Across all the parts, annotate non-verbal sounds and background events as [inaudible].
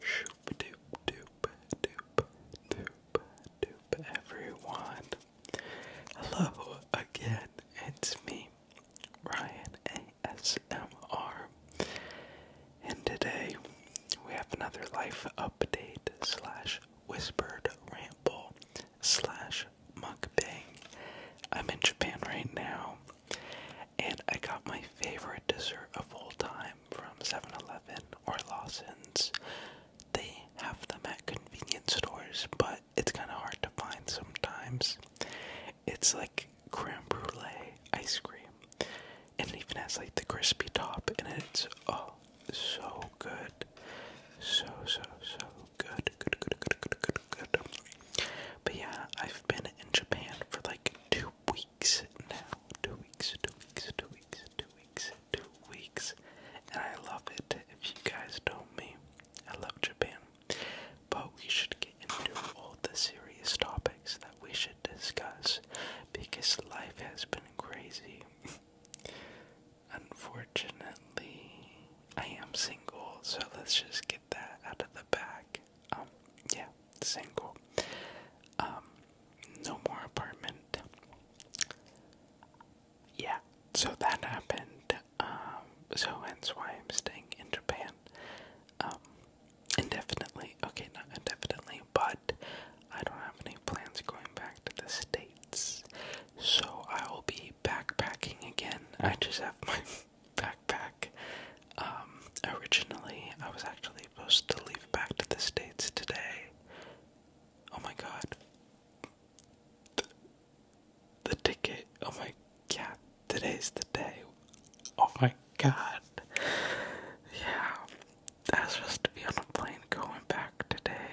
Shoop doop doop doop doop doop everyone. Hello again, it's me, Ryan ASMR. And today we have another life update slash whispered ramble slash mukbang. I'm in Japan right now and I got my favorite dessert of all time from 7 Eleven or Lawson's. They have them at convenience stores, but it's kind of hard to find sometimes. It's like creme brulee ice cream, and it even has like the crispy top, and it. it's oh, so good. So, so, so good. Good, good, good, good, good, good. But yeah, I've been in Japan for like two now. Two weeks, two weeks, two weeks, two weeks, two weeks. And I love it. If you guys don't me, I love Japan. But we should get into all the serious topics that we should discuss because life has been crazy. [laughs] Unfortunately, I am single, so let's just get that out of the bag. Um, yeah, single. Um, no more apartment. Yeah, so that happened. Um, so hence why I'm staying in Japan. indefinitely. Okay, not indefinitely, but I don't have any plans going back to the States. So I will be backpacking again. I just have my backpack. Um, originally, I was actually supposed to leave back to the States today. Oh my god. The, the ticket. Oh my god. Today's the day. Oh my god. Yeah. I was supposed to be on a plane going back today.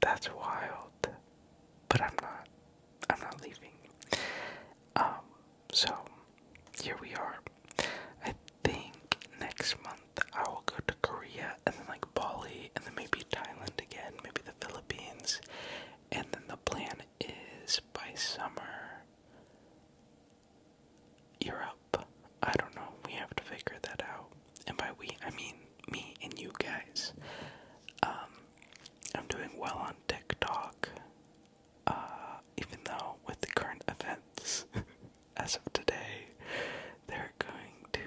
That's wild. But I'm not. I'm not leaving. Um, so here we are. I think next month I will go to Korea and then like Bali and then maybe Thailand again, maybe the Philippines. And then the plan is by summer Europe. I don't know. We have to figure that out. And by we, I mean me and you guys. Um, I'm doing well on TikTok. Uh, even though with the current events [laughs] as of today, they're going to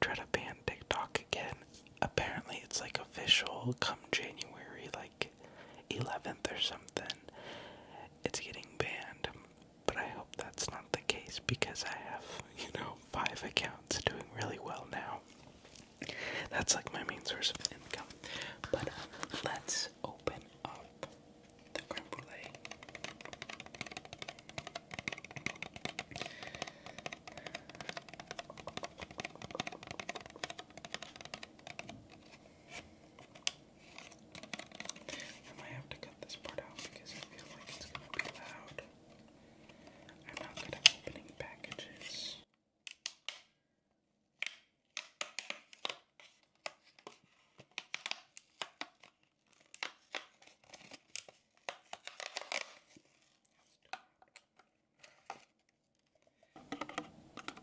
try to ban TikTok again. Apparently, it's like official come January, like 11th or something. It's getting banned, but I hope that's not the case because I have, you know, five accounts doing really well now. That's like my main source of income. But uh, let's open up the creme brulee. I might have to cut this part out because I feel like it's gonna be loud. I'm not good at opening packages.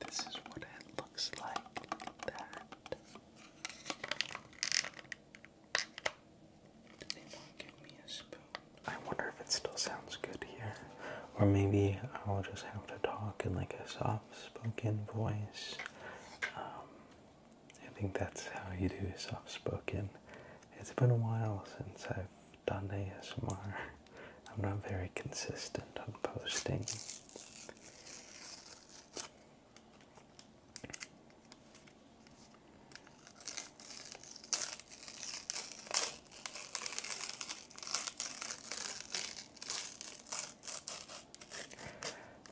This is what it looks like. Look at that. Do they not give me a spoon? I wonder if it still sounds good here. Or maybe I'll just have to talk in like a soft spoken voice. Um, I think that's how you do soft spoken. It's been a while since I've done ASMR. I'm not very consistent on posting.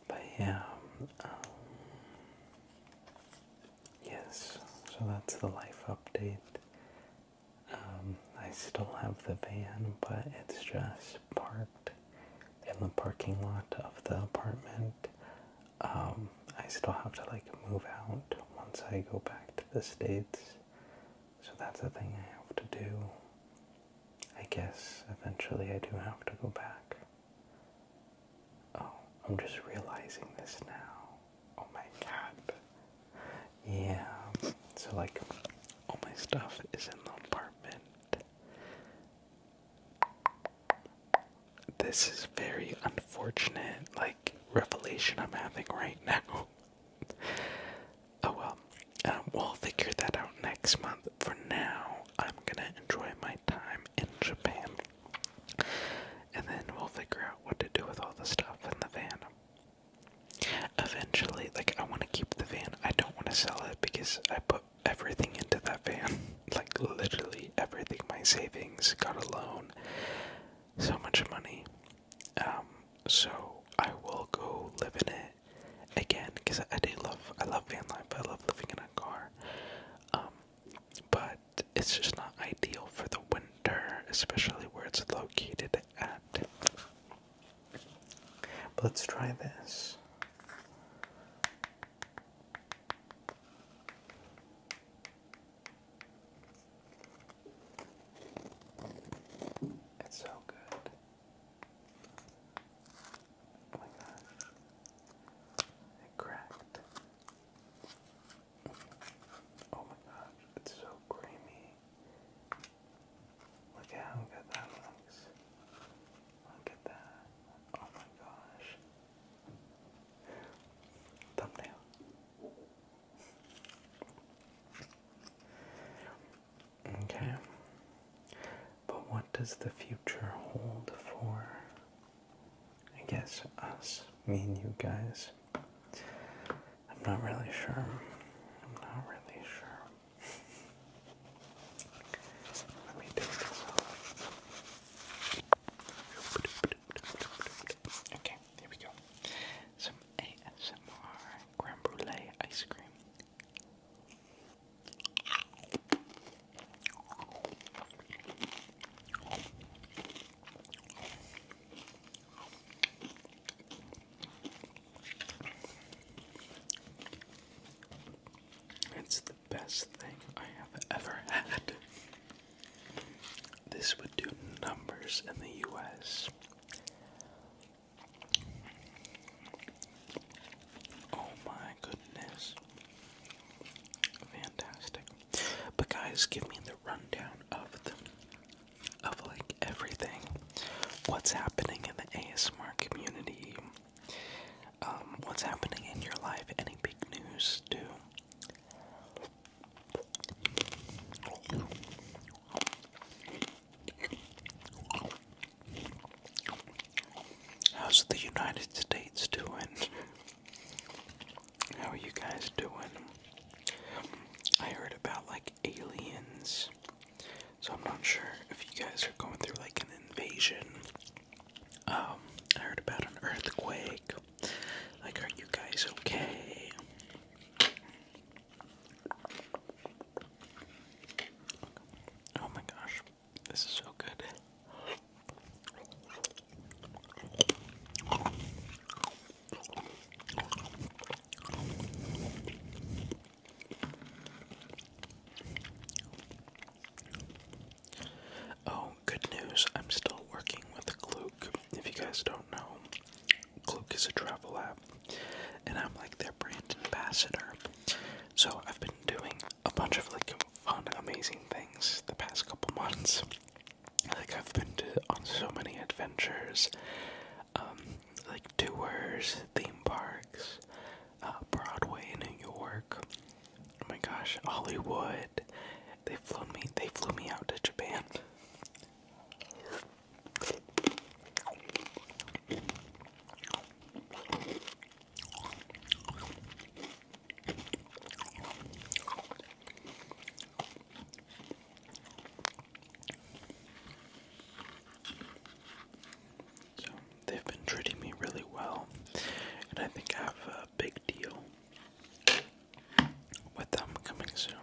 But yeah, um, yes, so that's the life update. Um, I still have the van, but it's just parked in the parking lot of the apartment. Um, I still have to like move out once I go back to the States. So that's the thing I have to do. I guess eventually I do have to go back. Oh, I'm just realizing this now. Oh my god. Yeah. So like all my stuff is in the apartment. This is very unfortunate. Like revelation I'm having right now. [laughs] oh well. Um, we'll figure that out next month. For now, I'm gonna enjoy my time in Japan. And then we'll figure out what to do with all the stuff in the van. Eventually, like, I want to keep the van. I don't want to sell it because I put everything into that van. [laughs] like, literally everything. My savings, got a loan, so much money. Um, so I will go live in it again because I, I do love I love van life. I love living in a car. Um, but it's just not ideal for the winter, especially where it's located at. But let's try this. It's so good. Oh my gosh. It cracked. Oh my gosh, it's so creamy. Look at how good that looks. Look at that. Oh my gosh. Thumbnail. Okay. But what does the future hold for, I guess, us, me and you guys? I'm not really sure. I'm not really sure. [laughs] Let me take this off. Okay, here we go. Some ASMR creme brulee ice cream. It's the best thing I have ever had. This would do numbers in the US. Oh my goodness. Fantastic. But guys, give me the rundown of the of like everything. What's happening in the ASMR community? Um, what's happening in your life? Any big news too? How's the United States doing? How are you guys doing? I heard about like aliens, so I'm not sure if you guys are going through like an invasion. Um, I heard about an earthquake. Like, are you guys okay? Oh my gosh, this is so good. Oh, good news, I'm still working with Gluk. If you guys don't know, Gluk is a travel app, and I'm like their brand ambassador. So I've been doing a bunch of like fun, amazing things the past couple [laughs] months. Like I've been on so many adventures, um, like tours, theme parks, uh, Broadway in New York. Oh my gosh, Hollywood. They flew me. They flew me out to Japan. So They've been treating me really well, and I think I have a big deal with them coming soon.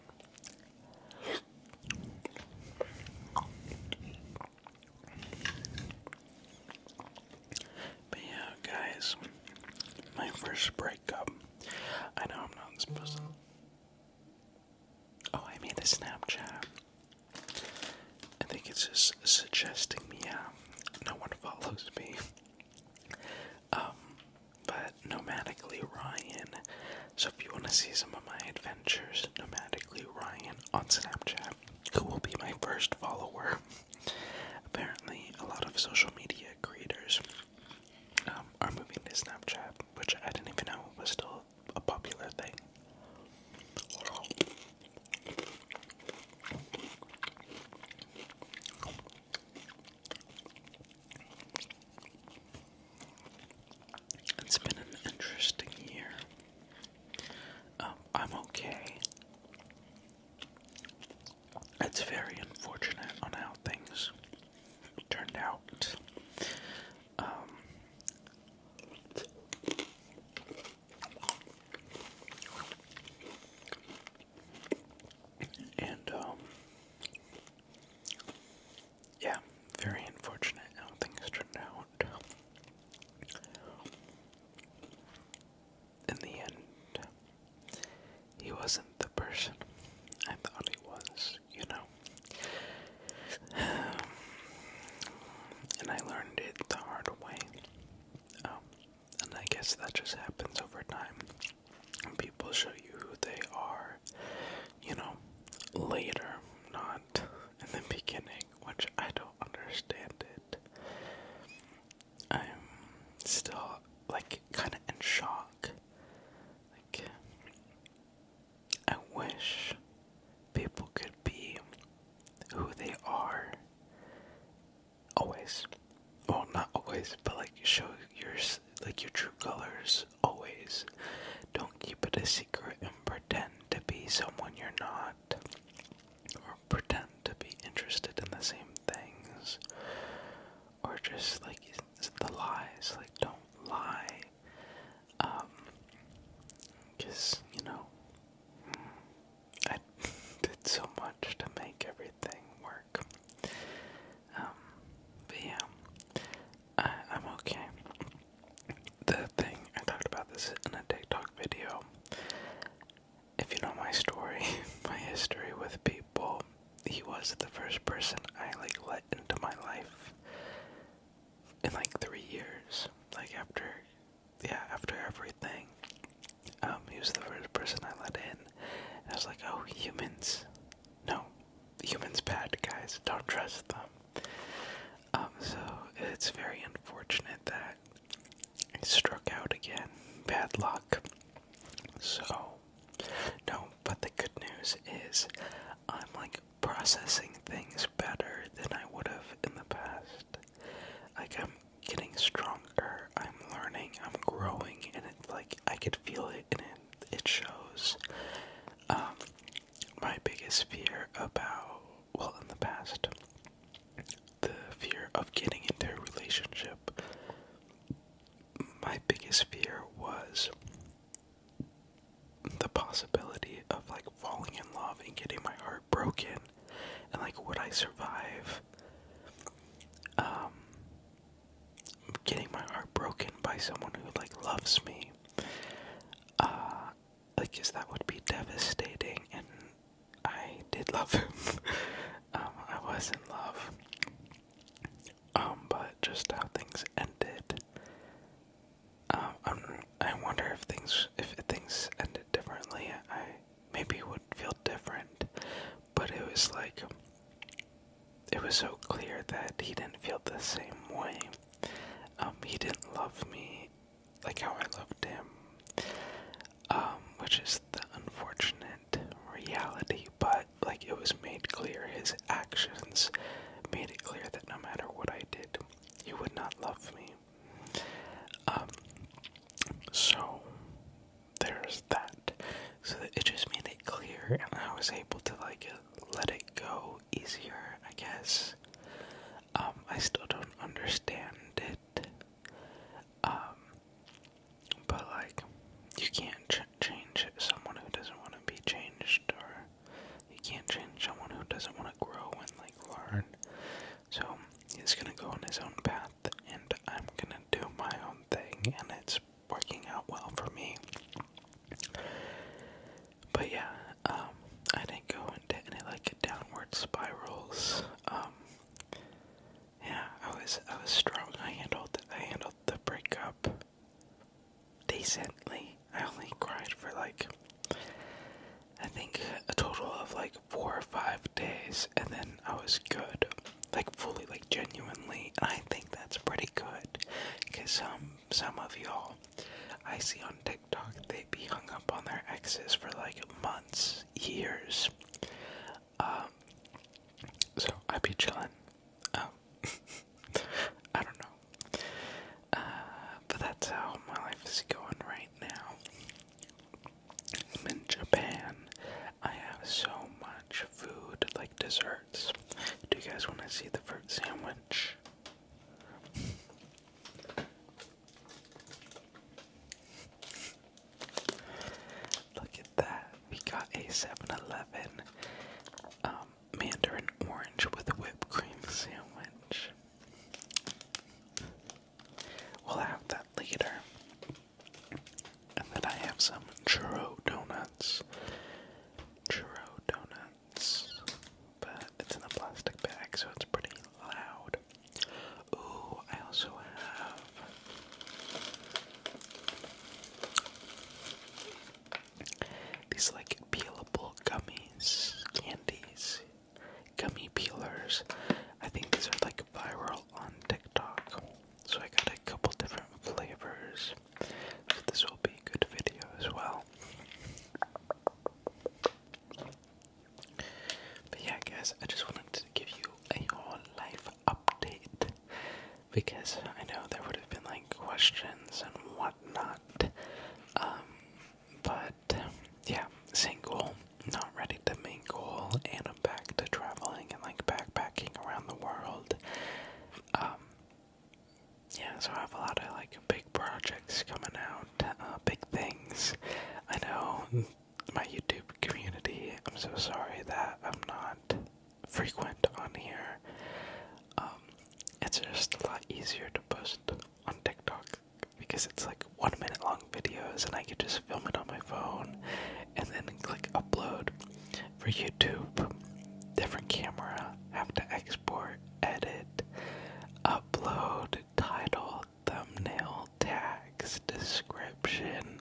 But yeah, guys, my first breakup. I know I'm not supposed Oh, I made a Snapchat. I think it's just suggesting me out. No one follows me. Um, but nomadically Ryan. So if you want to see some of my adventures, nomadically Ryan on Snapchat, who will be my first follower. Apparently, a lot of social media creators um, are moving to Snapchat, which I didn't even know was still a popular thing. It's been an interesting year. Um, I'm okay. It's very unfortunate on how things turned out. Um, and, um, yeah, very unfortunate how things turned out. In the end, he wasn't the person I thought he was, you know and I learned it the hard way. Oh, and I guess that just happens over time. People show you who they are, you know, later, not in the beginning, which I don't understand it. I'm still, like, kind of in shock. Like, I wish people could be who they are always. Well, not always, but like show your like your true colors always. Don't keep it a secret and pretend to be someone you're not, or pretend to be interested in the same things, or just like the lies. Like don't lie, because um, you know I [laughs] did so much to make everything work. Um, but yeah, I'm okay. The thing, I talked about this in a TikTok video. If you know my story, [laughs] my history with people, he was the first person I like let into my life in like three years. Like after, yeah, after everything, um, he was the first person I let in. And I was like, oh, humans, no, humans bad guys. Don't trust them. Um, so it's very unfortunate that I struck out again. Bad luck. So. No, but the good news is I'm like processing things better than I would have in the past. Like I'm getting stronger, I'm learning, I'm growing, and it's like I could feel it, and it it shows. Um, my biggest fear about well, in the past, the fear of getting into a relationship. My biggest fear was the possibility of like falling in love and getting my heart broken and like would I survive um getting my heart broken by someone who like loves me uh like guess that would be devastating and I did love him [laughs] um, I was in love um but just how things ended um, um, i wonder if things if things ended differently, I maybe would feel different. But it was like it was so clear that he didn't feel the same way. Um, he didn't love me like how I loved him, um, which is the unfortunate reality. But like it was made clear, his actions made it clear that no matter what I did, you would not love me. Um, so there's that. So that it just made it clear, and I was able to like let it go easier, I guess. Um, I still don't understand it. Um, but like, you can't change someone who doesn't want to be changed, or you can't change someone who doesn't want to grow and like learn. So he's gonna go on his own path, and I'm gonna do my own thing, and it's working out well for me. But yeah, um, I didn't go into any like downward spirals. Um, yeah, I was I was strong. I handled I handled the breakup decently. I only cried for like I think a total of like four or five days, and then I was good, like fully, like genuinely. And I think that's pretty good, because some um, some of y'all I see on TikTok they be hung up on their exes for like months, years. Um, so I be chillin. Oh. [laughs] I don't know. Uh, but that's how my life is going right now. I'm in Japan. I have so much food, like desserts. Do you guys want to see the fruit sandwich? Look at that. We got a 7 mandarin orange with whipped cream sandwich. We'll have that later. And then I have some churro donuts. Churro donuts. But it's in a plastic bag, so it's pretty loud. Ooh, I also have these like peelable gummies, candies, gummy peelers. I think these are like viral on TikTok. So I got a couple different flavors. this will be a good video as well. But yeah guys, I just wanted to give you a whole life update because I know there would have been like questions and whatnot. Um, but yeah, single, not ready to mingle, and I'm back to traveling and like backpacking around the world. Um, yeah, so I have a lot of like big projects coming out, uh, big things. I know my YouTube community, I'm so sorry that I'm not frequent on here. Um, it's just a lot easier to post on TikTok because it's like one minute long videos, and I can just film it on my phone and then click upload. For YouTube, different camera, have to export, edit, upload, title, thumbnail, tags, description,